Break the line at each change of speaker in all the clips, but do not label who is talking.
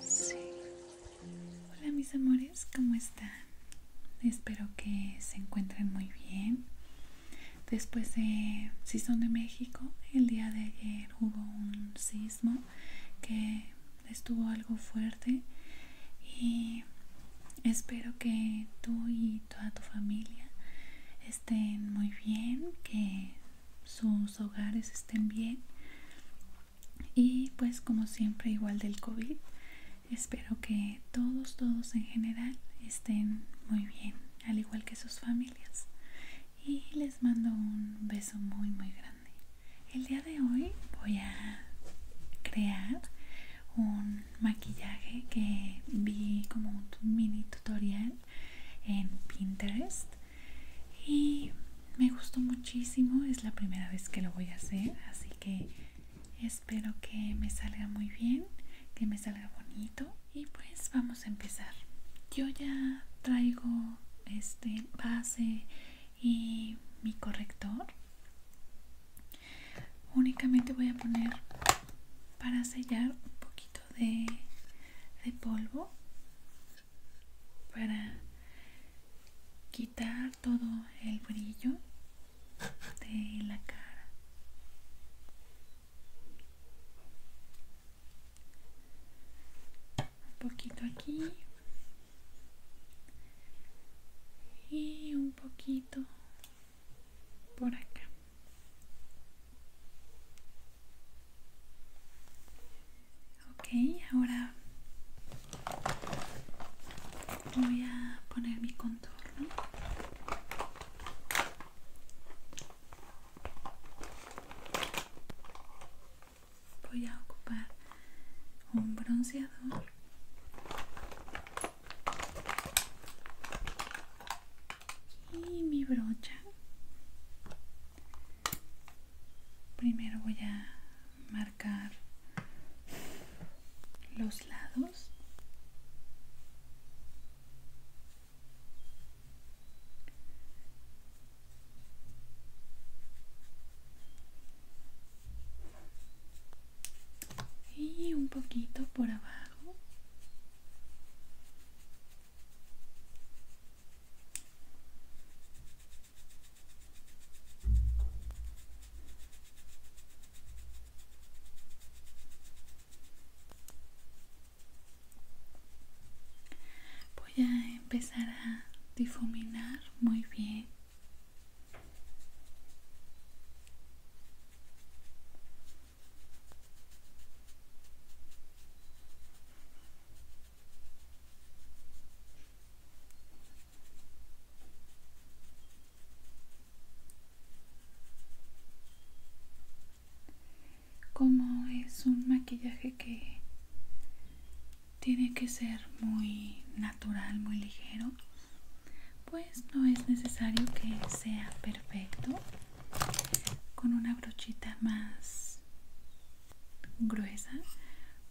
C Hola mis amores, ¿cómo están? Espero que se encuentren muy bien. Después de, si son de México, el día de ayer hubo un sismo que estuvo algo fuerte y espero que tú y toda tu familia estén muy bien, que sus hogares estén bien. Y pues como siempre igual del COVID, espero que todos, todos en general estén muy bien, al igual que sus familias. Y les mando un beso muy, muy grande. El día de hoy voy a crear un maquillaje que vi como un mini tutorial en Pinterest y me gustó muchísimo, es la primera vez que lo voy a hacer, así que espero que me salga muy bien, que me salga bonito y pues vamos a empezar. Yo ya traigo este base y mi corrector únicamente voy a poner para sellar un poquito de, polvo para quitar todo el brillo de la cara un poquito aquí y un poquito por acá ok ahora voy a poner mi contorno voy a ocupar un bronceador y mi brocha primero voy a marcar los lados y un poquito por abajo Voy a empezar a difuminar muy bien como es un maquillaje que tiene que ser muy natural muy ligero pues no es necesario que sea perfecto con una brochita más gruesa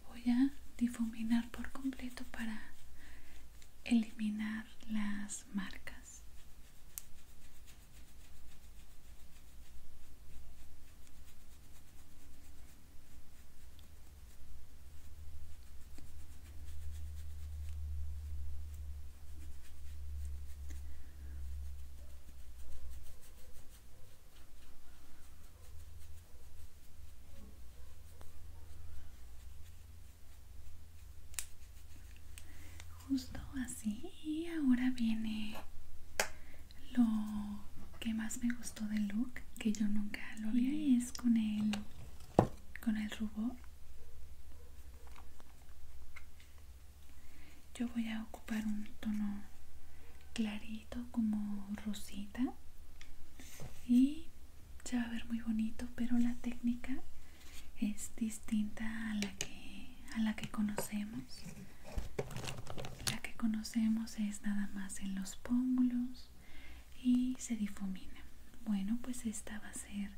voy a difuminar por completo para eliminar las marcas Justo así y ahora viene lo que más me gustó del look que yo nunca lo vi es con el con el rubor yo voy a ocupar un tono clarito como rosita y se va a ver muy bonito pero la técnica es distinta a la que a la que conocemos la que conocemos es nada más en los pómulos y se difumina bueno, pues esta va a ser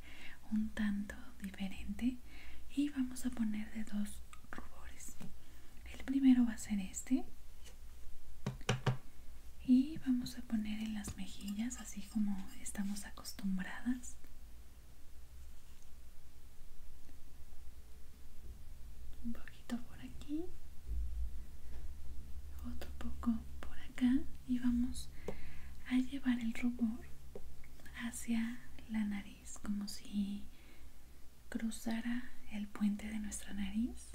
un tanto diferente y vamos a poner de dos rubores. El primero va a ser este y vamos a poner en las mejillas así como estamos acostumbradas. Un poquito por aquí, otro poco por acá y vamos a llevar el rubor hacia la nariz como si cruzara el puente de nuestra nariz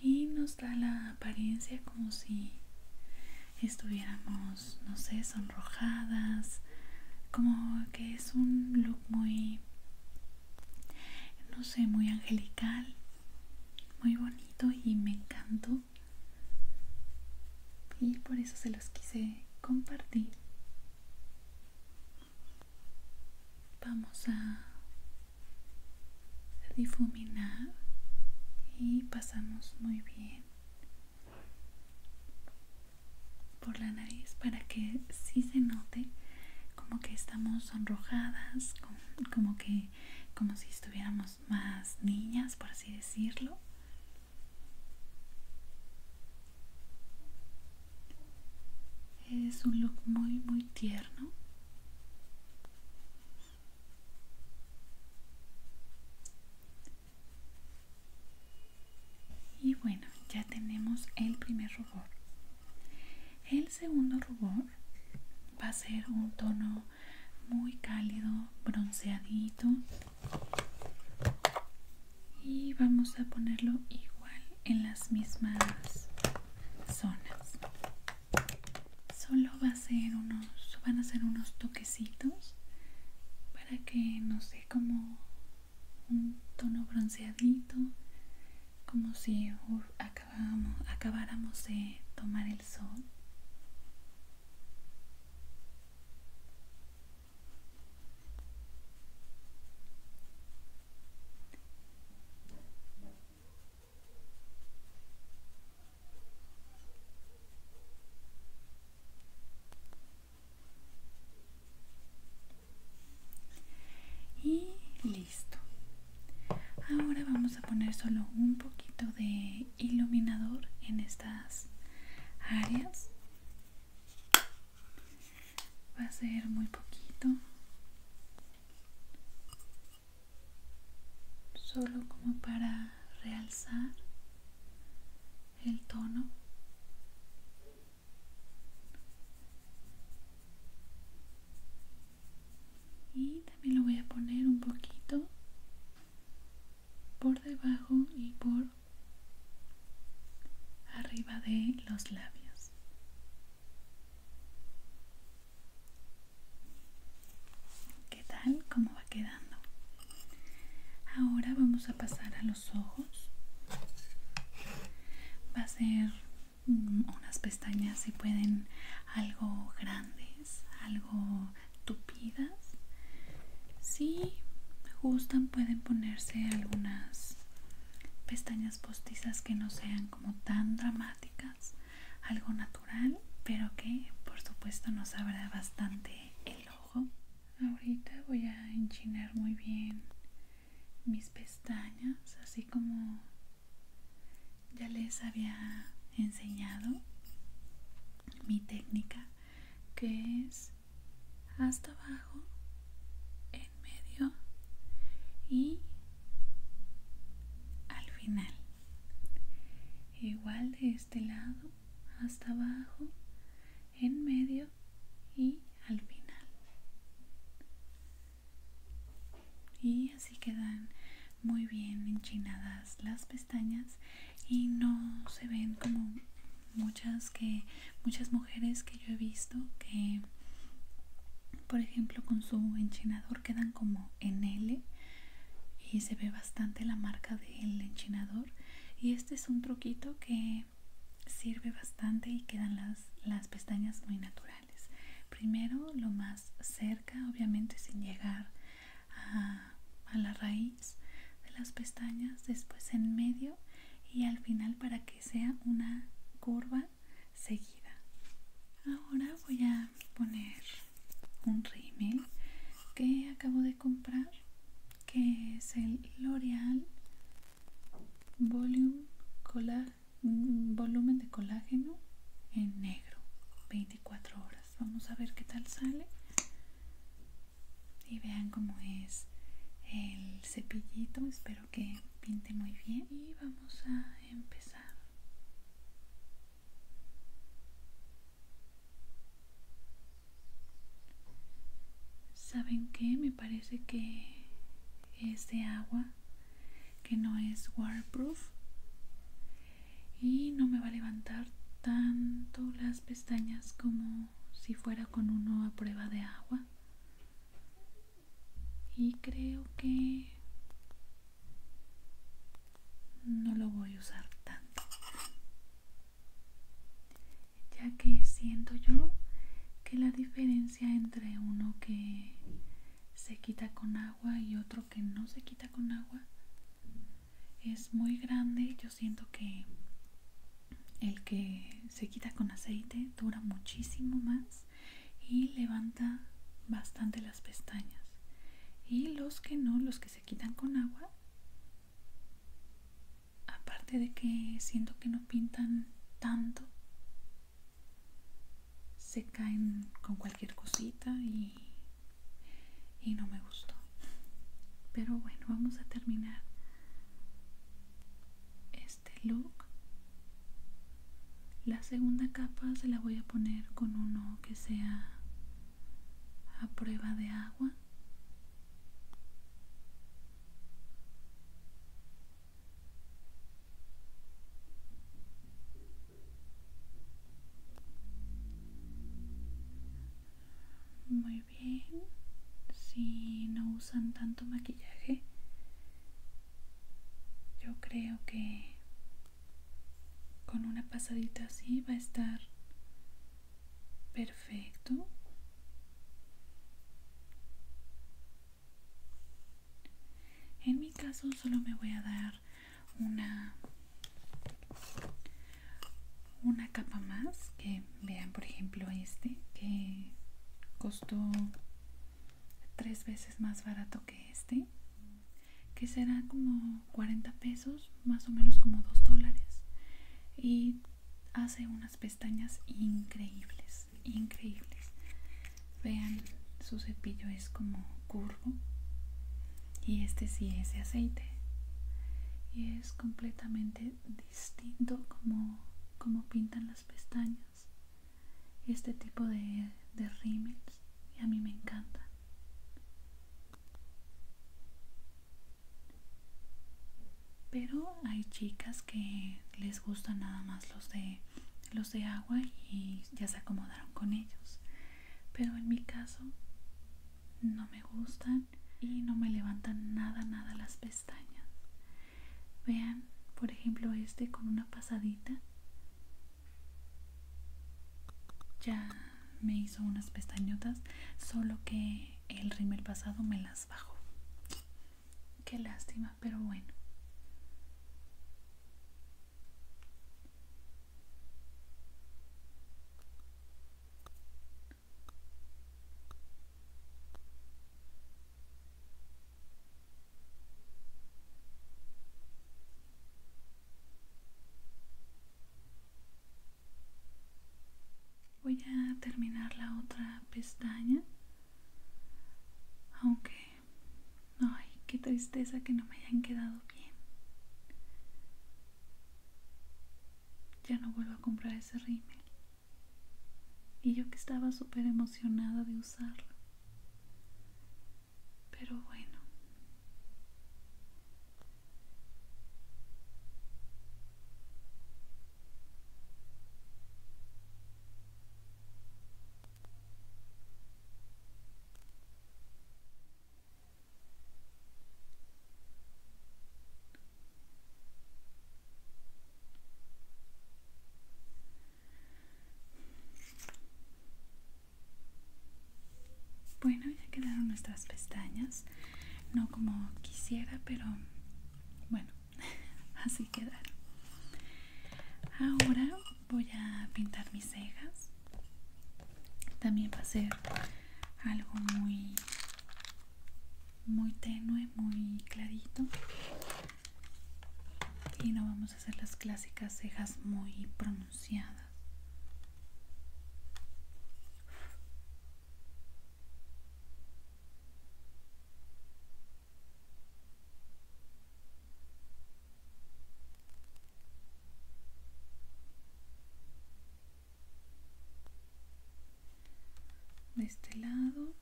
y nos da la apariencia como si estuviéramos, no sé, sonrojadas, como que es un look muy no sé, muy angelical, muy bonito y me encantó. Y por eso se los quise compartir. Vamos a difuminar y pasamos muy bien por la nariz para que sí se note como que estamos sonrojadas, como, como que como si estuviéramos más niñas, por así decirlo. Es un look muy muy tierno. Y bueno, ya tenemos el primer rubor. El segundo rubor va a ser un tono muy cálido, bronceadito. Y vamos a ponerlo igual en las mismas zonas. Solo va a ser unos, van a ser unos toquecitos para que no sé cómo un tono bronceadito como si acabáramos de tomar el sol y listo ahora vamos a poner solo un poquito de iluminador en estas áreas va a ser muy poquito solo como para realzar el tono y también lo voy a poner un poquito por debajo y por arriba de los labios ¿qué tal? ¿cómo va quedando? ahora vamos a pasar a los ojos va a ser mm, unas pestañas si pueden algo grandes algo tupidas si gustan pueden ponerse algunas pestañas postizas que no sean como tan dramáticas algo natural pero que por supuesto nos abra bastante el ojo ahorita voy a enchinar muy bien mis pestañas así como ya les había enseñado mi técnica que es hasta abajo en medio y al final igual de este lado hasta abajo en medio y al final y así quedan muy bien enchinadas las pestañas y no se ven como muchas que muchas mujeres que yo he visto que por ejemplo con su enchinador quedan como en L y se ve bastante la marca del enchinador y este es un truquito que sirve bastante y quedan las, las pestañas muy naturales. Primero lo más cerca, obviamente sin llegar a, a la raíz de las pestañas, después en medio y al final para que sea una curva seguida. Ahora voy a poner un rímel que acabo de comprar, que es el L'Oreal volumen, mm, volumen de colágeno en negro 24 horas vamos a ver qué tal sale y vean cómo es el cepillito espero que pinte muy bien y vamos a empezar ¿Saben qué? Me parece que es de agua, que no es waterproof y no me va a levantar tanto las pestañas como si fuera con uno a prueba de agua. Y creo que no lo voy a usar tanto ya que siento yo que la diferencia entre uno que se quita con agua y otro que no se quita con agua es muy grande yo siento que el que se quita con aceite dura muchísimo más y levanta bastante las pestañas y los que no los que se quitan con agua aparte de que siento que no pintan tanto se caen con cualquier cosita y, no me gustó pero bueno vamos a terminar este look la segunda capa se la voy a poner con uno que sea a prueba de agua muy bien, si no usan tanto maquillaje, yo creo que con una pasadita así va a estar perfecto en mi caso solo me voy a dar una una capa más que vean por ejemplo este que costó tres veces más barato que este que será como 40 pesos más o menos como 2 dólares y hace unas pestañas increíbles, increíbles. Vean, su cepillo es como curvo y este sí es de aceite y es completamente distinto como, como pintan las pestañas. Este tipo de, de rímel y a mí me encanta pero hay chicas que les gustan nada más los de los de agua y ya se acomodaron con ellos pero en mi caso no me gustan y no me levantan nada nada las pestañas vean por ejemplo este con una pasadita ya me hizo unas pestañotas solo que el rímel pasado me las Qué lástima, pero bueno voy a terminar la otra pestaña aunque ay qué tristeza que no me hayan quedado bien ya no vuelvo a comprar ese rímel y yo que estaba súper emocionada de usarlo pero bueno bueno, ya quedaron nuestras pestañas, no como quisiera, pero bueno, así quedaron. Ahora voy a pintar mis cejas. También va a ser algo muy muy tenue, muy clarito. Y no vamos a hacer las clásicas cejas muy pronunciadas de este lado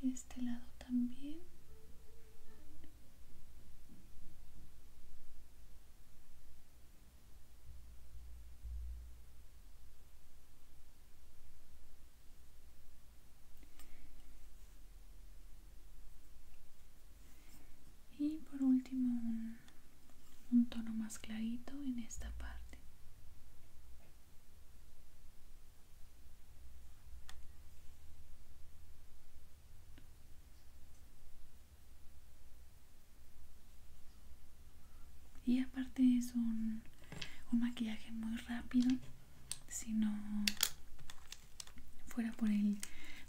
de este lado también y por último un, tono más clarito en esta parte y aparte es un, un maquillaje muy rápido si no fuera por el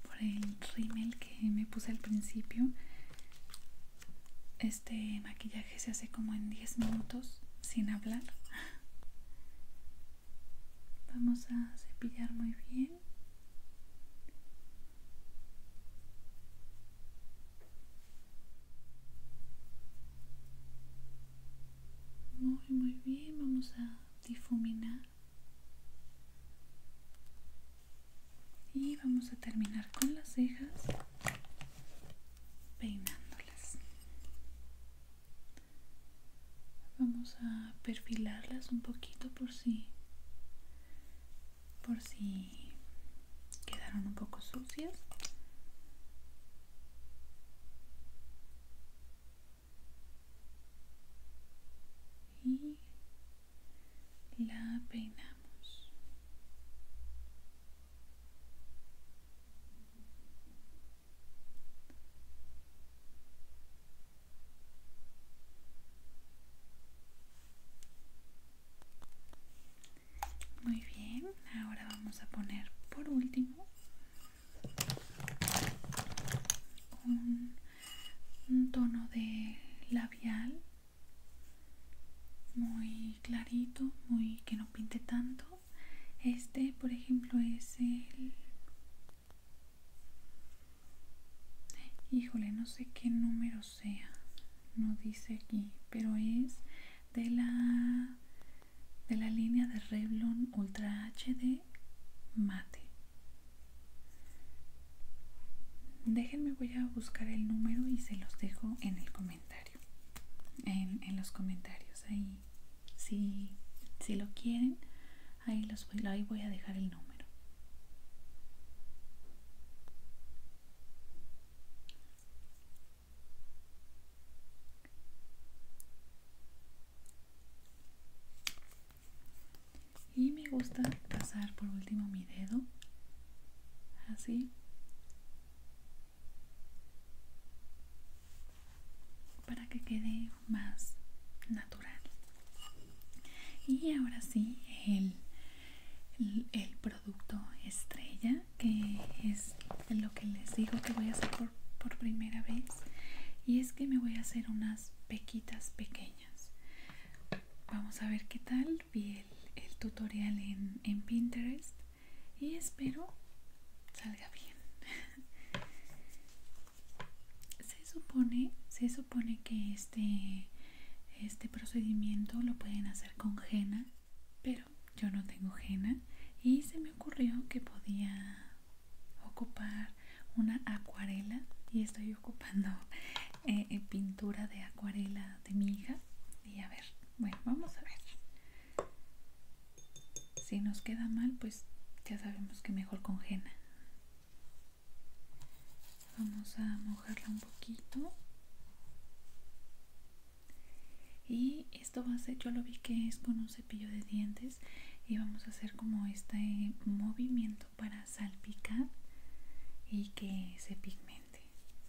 por el rímel que me puse al principio este maquillaje se hace como en 10 minutos sin hablar vamos a cepillar muy bien muy, muy bien, vamos a difuminar. Y vamos a terminar con las cejas peinándolas. Vamos a perfilarlas un poquito por si por si quedaron un poco sucias y la peinamos muy bien, ahora vamos a poner por último un, tono de labial muy clarito, muy que no pinte tanto. Este, por ejemplo, es el Híjole, no sé qué número sea. No dice aquí, pero es de la de la línea de Revlon Ultra HD Mate. Déjenme voy a buscar el número y se los dejo en el comentario. En, en los comentarios ahí. Si, si lo quieren, ahí, los suelo, ahí voy a dejar el número y me gusta pasar por último mi dedo así para que quede más natural y ahora sí el, producto estrella que es lo que les digo que voy a hacer por, primera vez y es que me voy a hacer unas pequitas pequeñas vamos a ver qué tal vi el, el tutorial en, en pinterest y espero salga bien se supone que este, este procedimiento lo pueden hacer con henna pero yo no tengo henna y se me ocurrió que podía ocupar una acuarela y estoy ocupando eh, eh, pintura de acuarela de mi hija y a ver bueno vamos a ver si nos queda mal pues ya sabemos que mejor con henna vamos a mojarla un poquito y esto va a ser yo lo vi que es con un cepillo de dientes y vamos a hacer como este movimiento para salpicar y que se pigmente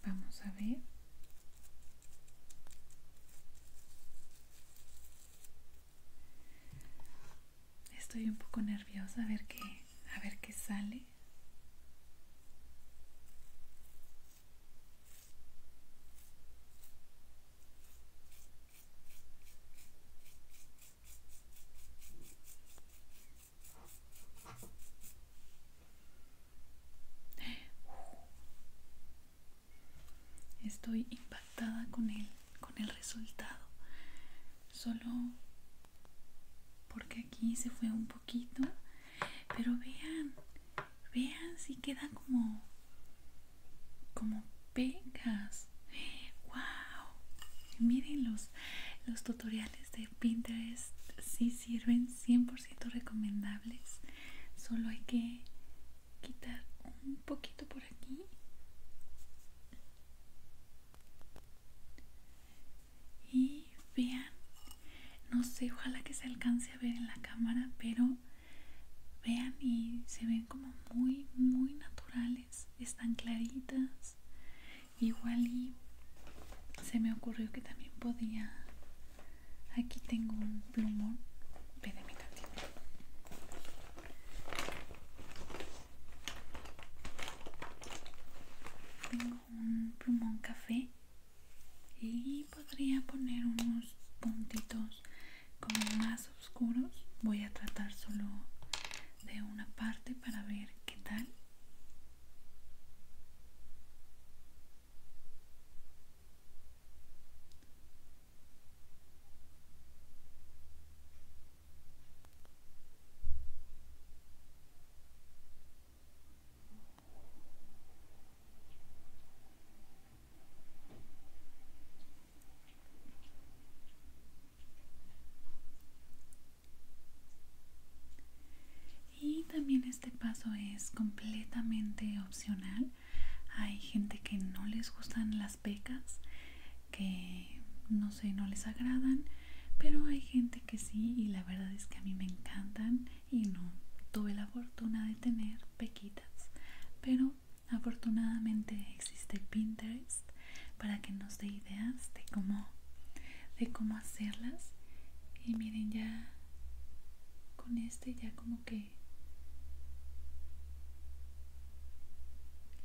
vamos a ver Estoy un poco nerviosa a ver qué a ver qué sale. Estoy impactada con él con el resultado solo porque aquí se fue un poquito pero vean vean si queda como como pegas wow miren los los tutoriales de pinterest si sí sirven 100% recomendables solo hay que quitar un poquito por aquí y vean no sé ojalá que se alcance a ver en la cámara pero vean y se ven como muy muy naturales están claritas igual y se me ocurrió que también podía aquí tengo un plumón mi tengo un plumón café y podría poner unos puntitos como más oscuros. Voy a tratar solo de una parte para ver qué tal. Y también este paso es completamente opcional. Hay gente que no les gustan las pecas que no sé, no les agradan, pero hay gente que sí y la verdad es que a mí me encantan y no tuve la fortuna de tener pequitas, pero afortunadamente existe Pinterest para que nos dé ideas de cómo de cómo hacerlas y miren ya con este ya como que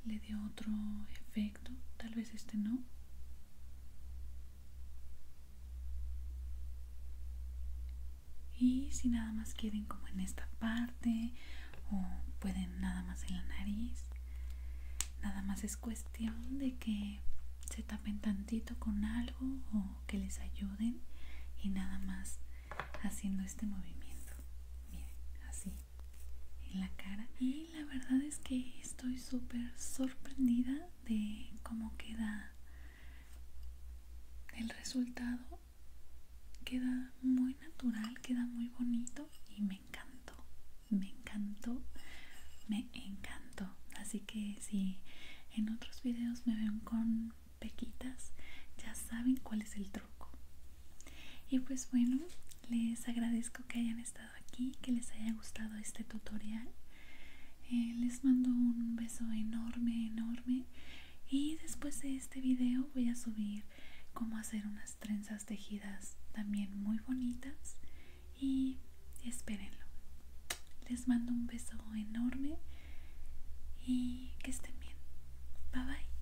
le dio otro efecto tal vez este no. Y si nada más quieren como en esta parte o pueden nada más en la nariz, nada más es cuestión de que se tapen tantito con algo o que les ayuden y nada más haciendo este movimiento. Miren, así en la cara y la verdad es que estoy súper sorprendida de cómo queda el resultado queda muy natural queda muy bonito y me encantó me encantó me encantó así que si en otros videos me ven con pequitas ya saben cuál es el truco y pues bueno les agradezco que hayan estado aquí, que les haya gustado este tutorial. Eh, les mando un beso enorme, enorme. Y después de este video voy a subir cómo hacer unas trenzas tejidas también muy bonitas. Y espérenlo. Les mando un beso enorme y que estén bien. Bye bye.